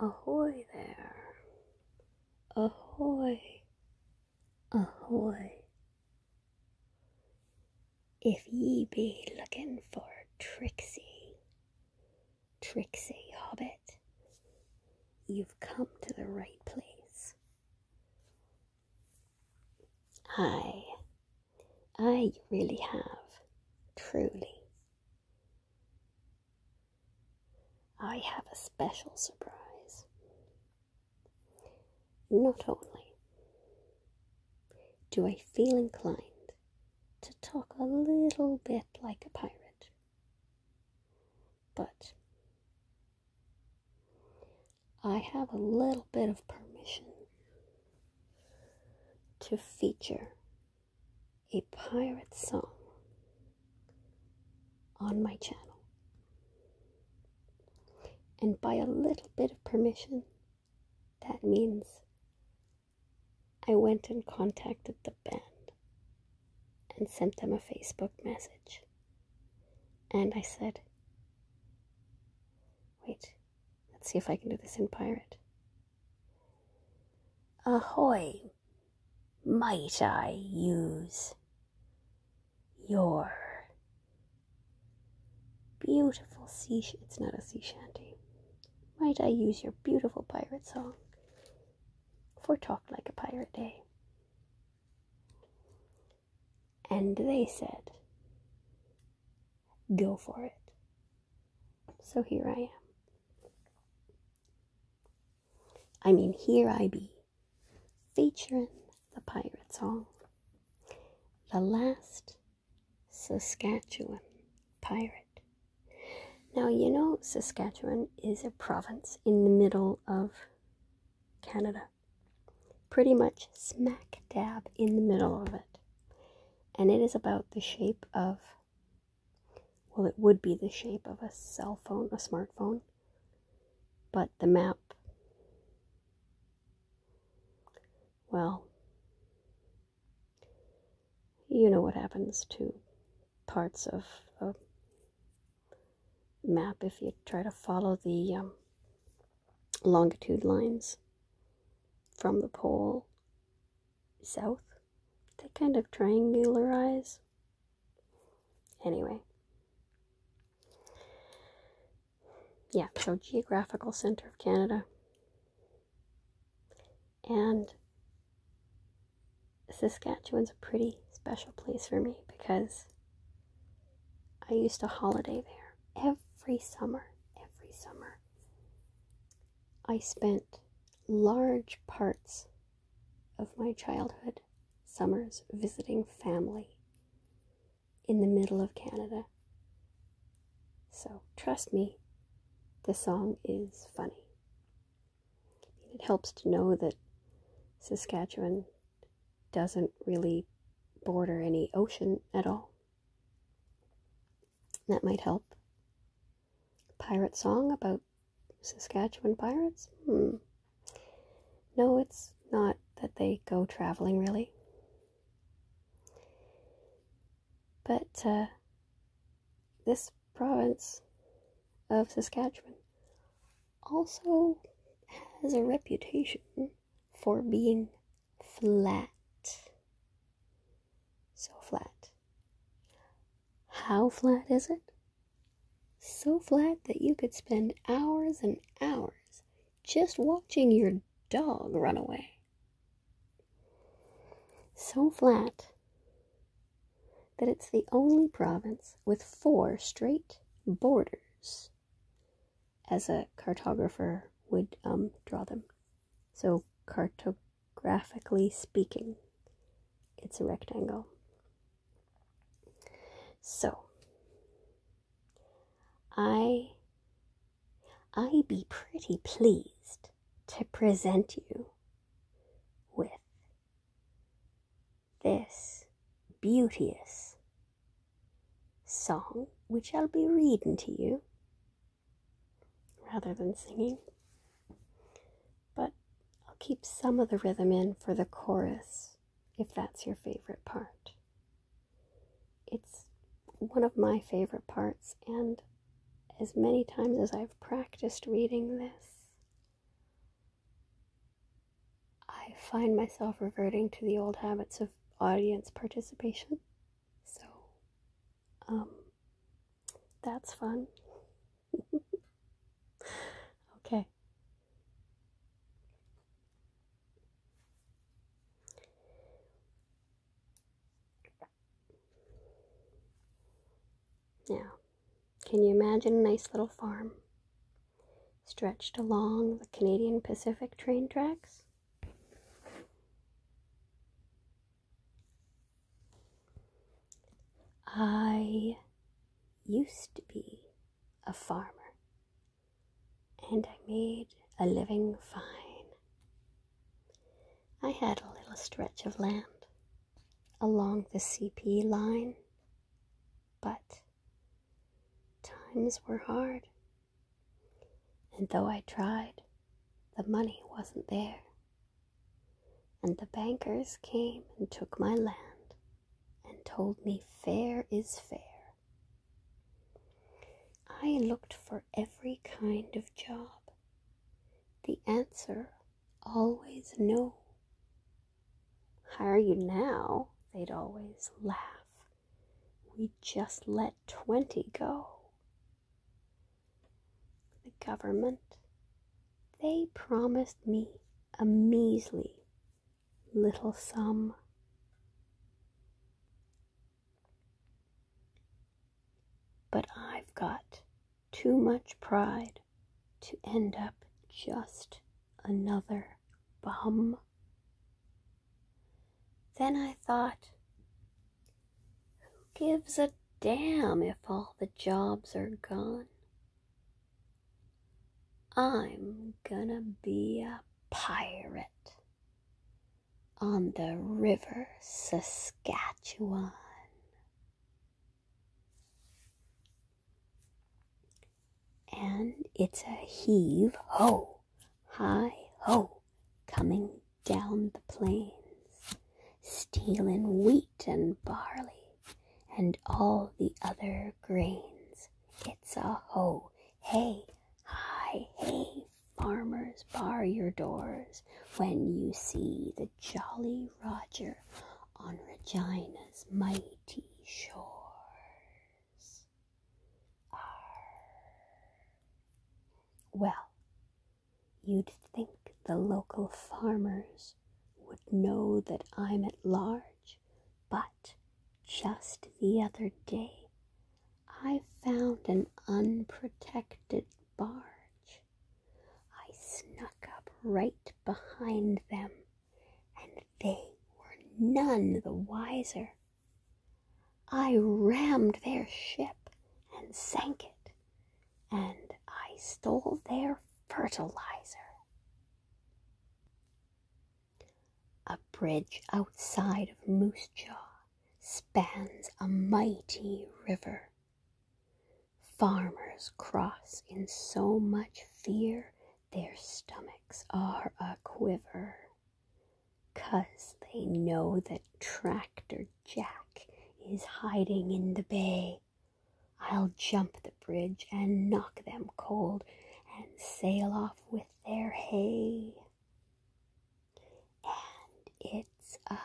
Ahoy there! Ahoy! Ahoy! If ye be looking for Trixie, Trixie Hobbit, you've come to the right place. Hi, I really have, truly. I have a special surprise. Not only do I feel inclined to talk a little bit like a pirate, but I have a little bit of permission to feature a pirate song on my channel. And by a little bit of permission, that means I went and contacted the band and sent them a Facebook message. And I said, wait. Let's see if I can do this in pirate. Ahoy! Might I use your beautiful sea? it's not a sea shanty. Might I use your beautiful pirate song for Talk Like a Pirate Day? And they said, Go for it. So here I am. I mean, here I be, featuring the pirate song, the last Saskatchewan pirate. Now, you know, Saskatchewan is a province in the middle of Canada pretty much smack dab in the middle of it. And it is about the shape of, well, it would be the shape of a cell phone, a smartphone, but the map, well, you know what happens to parts of a map if you try to follow the um, longitude lines from the pole south. They kind of triangularize. Anyway. Yeah, so geographical center of Canada. And Saskatchewan's a pretty special place for me because I used to holiday there every summer, every summer, I spent large parts of my childhood summers visiting family in the middle of Canada. So, trust me, the song is funny. It helps to know that Saskatchewan doesn't really border any ocean at all. That might help. Pirate song about Saskatchewan pirates? Hmm. No, it's not that they go traveling really. But uh, this province of Saskatchewan also has a reputation for being flat. So flat. How flat is it? So flat that you could spend hours and hours just watching your dog run away. So flat that it's the only province with four straight borders as a cartographer would um, draw them. So, cartographically speaking, it's a rectangle. So, I I be pretty pleased to present you with this beauteous song which I'll be reading to you rather than singing. But I'll keep some of the rhythm in for the chorus if that's your favorite part. It's one of my favorite parts, and as many times as I've practiced reading this, I find myself reverting to the old habits of audience participation. So, um, that's fun. okay. Yeah. Can you imagine a nice little farm stretched along the Canadian Pacific train tracks? I used to be a farmer and I made a living fine. I had a little stretch of land along the CP line, but times were hard. And though I tried, the money wasn't there. And the bankers came and took my land and told me fair is fair. I looked for every kind of job. The answer always know. Hire you now? They'd always laugh. We just let 20 go. The government, they promised me a measly little sum. But I've got too much pride to end up just another bum. Then I thought, who gives a damn if all the jobs are gone? I'm gonna be a pirate on the River Saskatchewan. And it's a heave ho, high ho, coming down the plains, stealing wheat and barley and all the other grains. It's a ho, hey, hi, hey, farmers, bar your doors when you see the Jolly Roger on Regina's mighty shores. Well, you'd think the local farmers would know that I'm at large, but just the other day I found an unprotected barge I snuck up right behind them, and they were none the wiser. I rammed their ship and sank it, and I stole their fertilizer. A bridge outside of Moose Jaw spans a mighty river. Farmers cross in so much fear, their stomachs are a quiver, 'cause they know that Tractor Jack is hiding in the bay. I'll jump the bridge and knock them cold and sail off with their hay. And it's a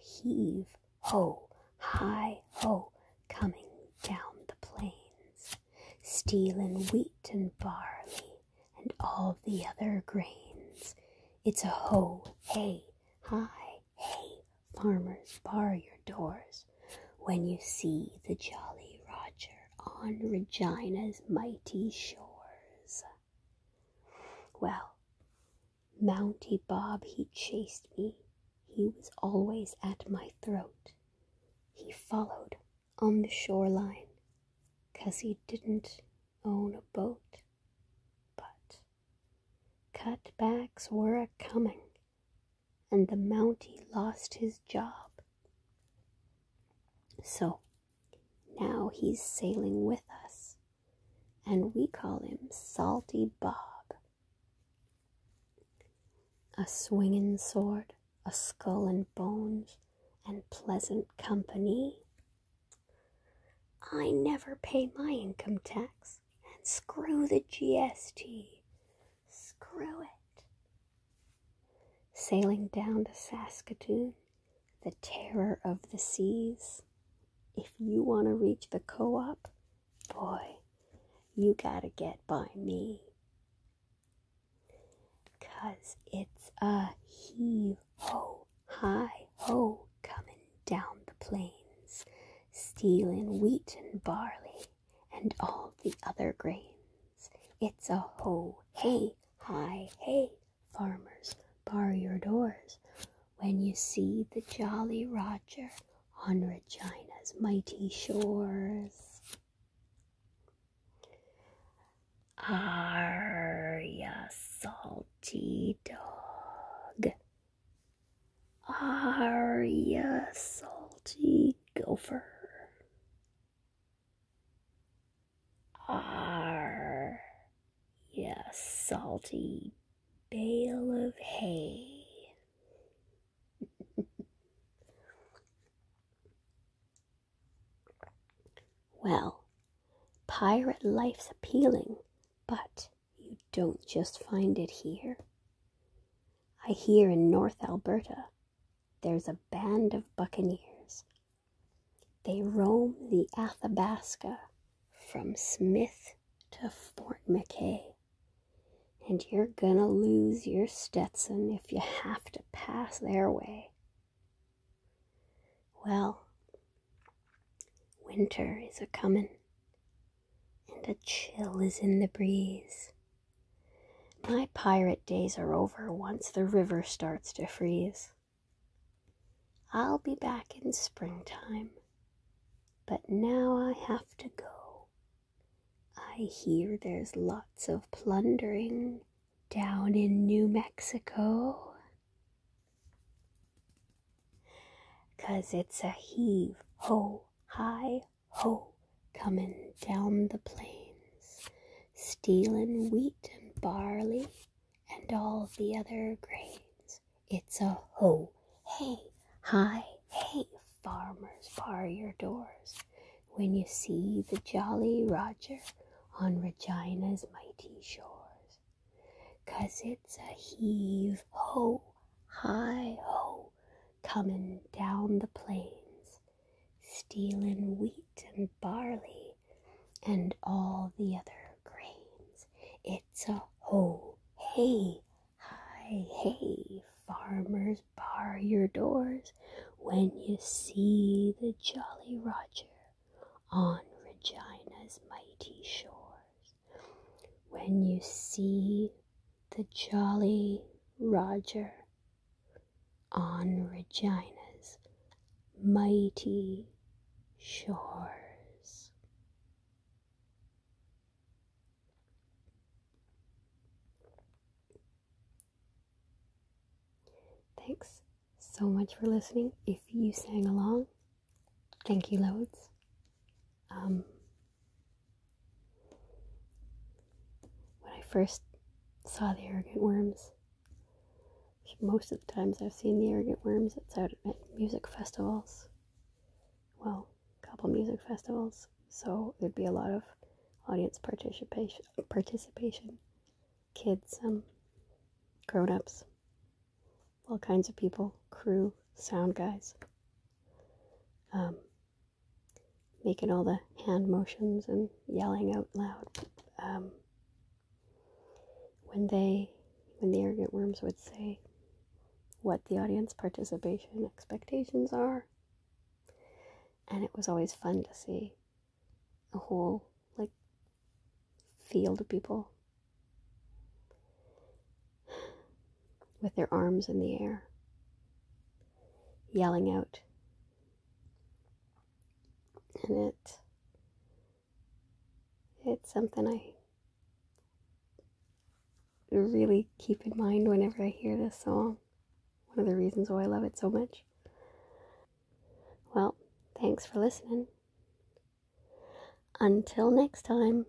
heave ho, hi ho, coming down the plains, stealing wheat and barley and all the other grains. It's a ho, hey, hi, hey, farmers, bar your doors when you see the Jolly Roger on Regina's mighty shores. Well, Mounty Bob, he chased me. He was always at my throat. He followed on the shoreline, 'cause he didn't own a boat. But cutbacks were a coming, and the Mountie lost his job. So now he's sailing with us and we call him Salty Bob. A swinging sword, a skull and bones, and pleasant company. I never pay my income tax, and screw the GST. Screw it. Sailing down to Saskatoon, the terror of the seas. If you want to reach the co op, boy, you gotta get by me. Cause it's a heave ho, high ho coming down the plains, stealin' wheat and barley and all the other grains. It's a ho, hey, hi, hey, farmers bar your doors when you see the Jolly Roger on Regina's mighty shores. Are a salty dog? Are a salty gopher? Arr, you salty bale of hay. well, pirate life's appealing, but you don't just find it here. I hear in North Alberta there's a band of buccaneers they roam the Athabasca from Smith to Fort McKay. And you're gonna lose your Stetson if you have to pass their way. Well, winter is a comin', and a chill is in the breeze. My pirate days are over once the river starts to freeze. I'll be back in springtime, but now I have to go. I hear there's lots of plundering down in New Mexico. 'Cause it's a heave ho, high ho, coming down the plains. Stealin' wheat and barley and all the other grains. It's a ho, hey, hi, hey, farmers, bar your doors. When you see the Jolly Roger on Regina's mighty shores. 'Cause it's a heave ho, high ho, comin' down the plains stealing wheat and barley and all the other grains. It's a ho, hey, hi, hey, farmers, bar your doors when you see the Jolly Roger on Regina's mighty shores. When you see the Jolly Roger on Regina's mighty shores. Thanks so much for listening. If you sang along, thank you loads. Um, when I first saw the arrogant worms, most of the times I've seen the arrogant worms, it's out at music festivals. Well, a couple music festivals, so there'd be a lot of audience participation, participation, kids, um, grown-ups, all kinds of people, crew, sound guys. Um, making all the hand motions and yelling out loud. Um, when they, when the arrogant worms would say what the audience participation expectations are, and it was always fun to see a whole like field of people with their arms in the air yelling out. And it it's something I really keep in mind whenever I hear this song. One of the reasons why I love it so much. Well, thanks for listening. Until next time.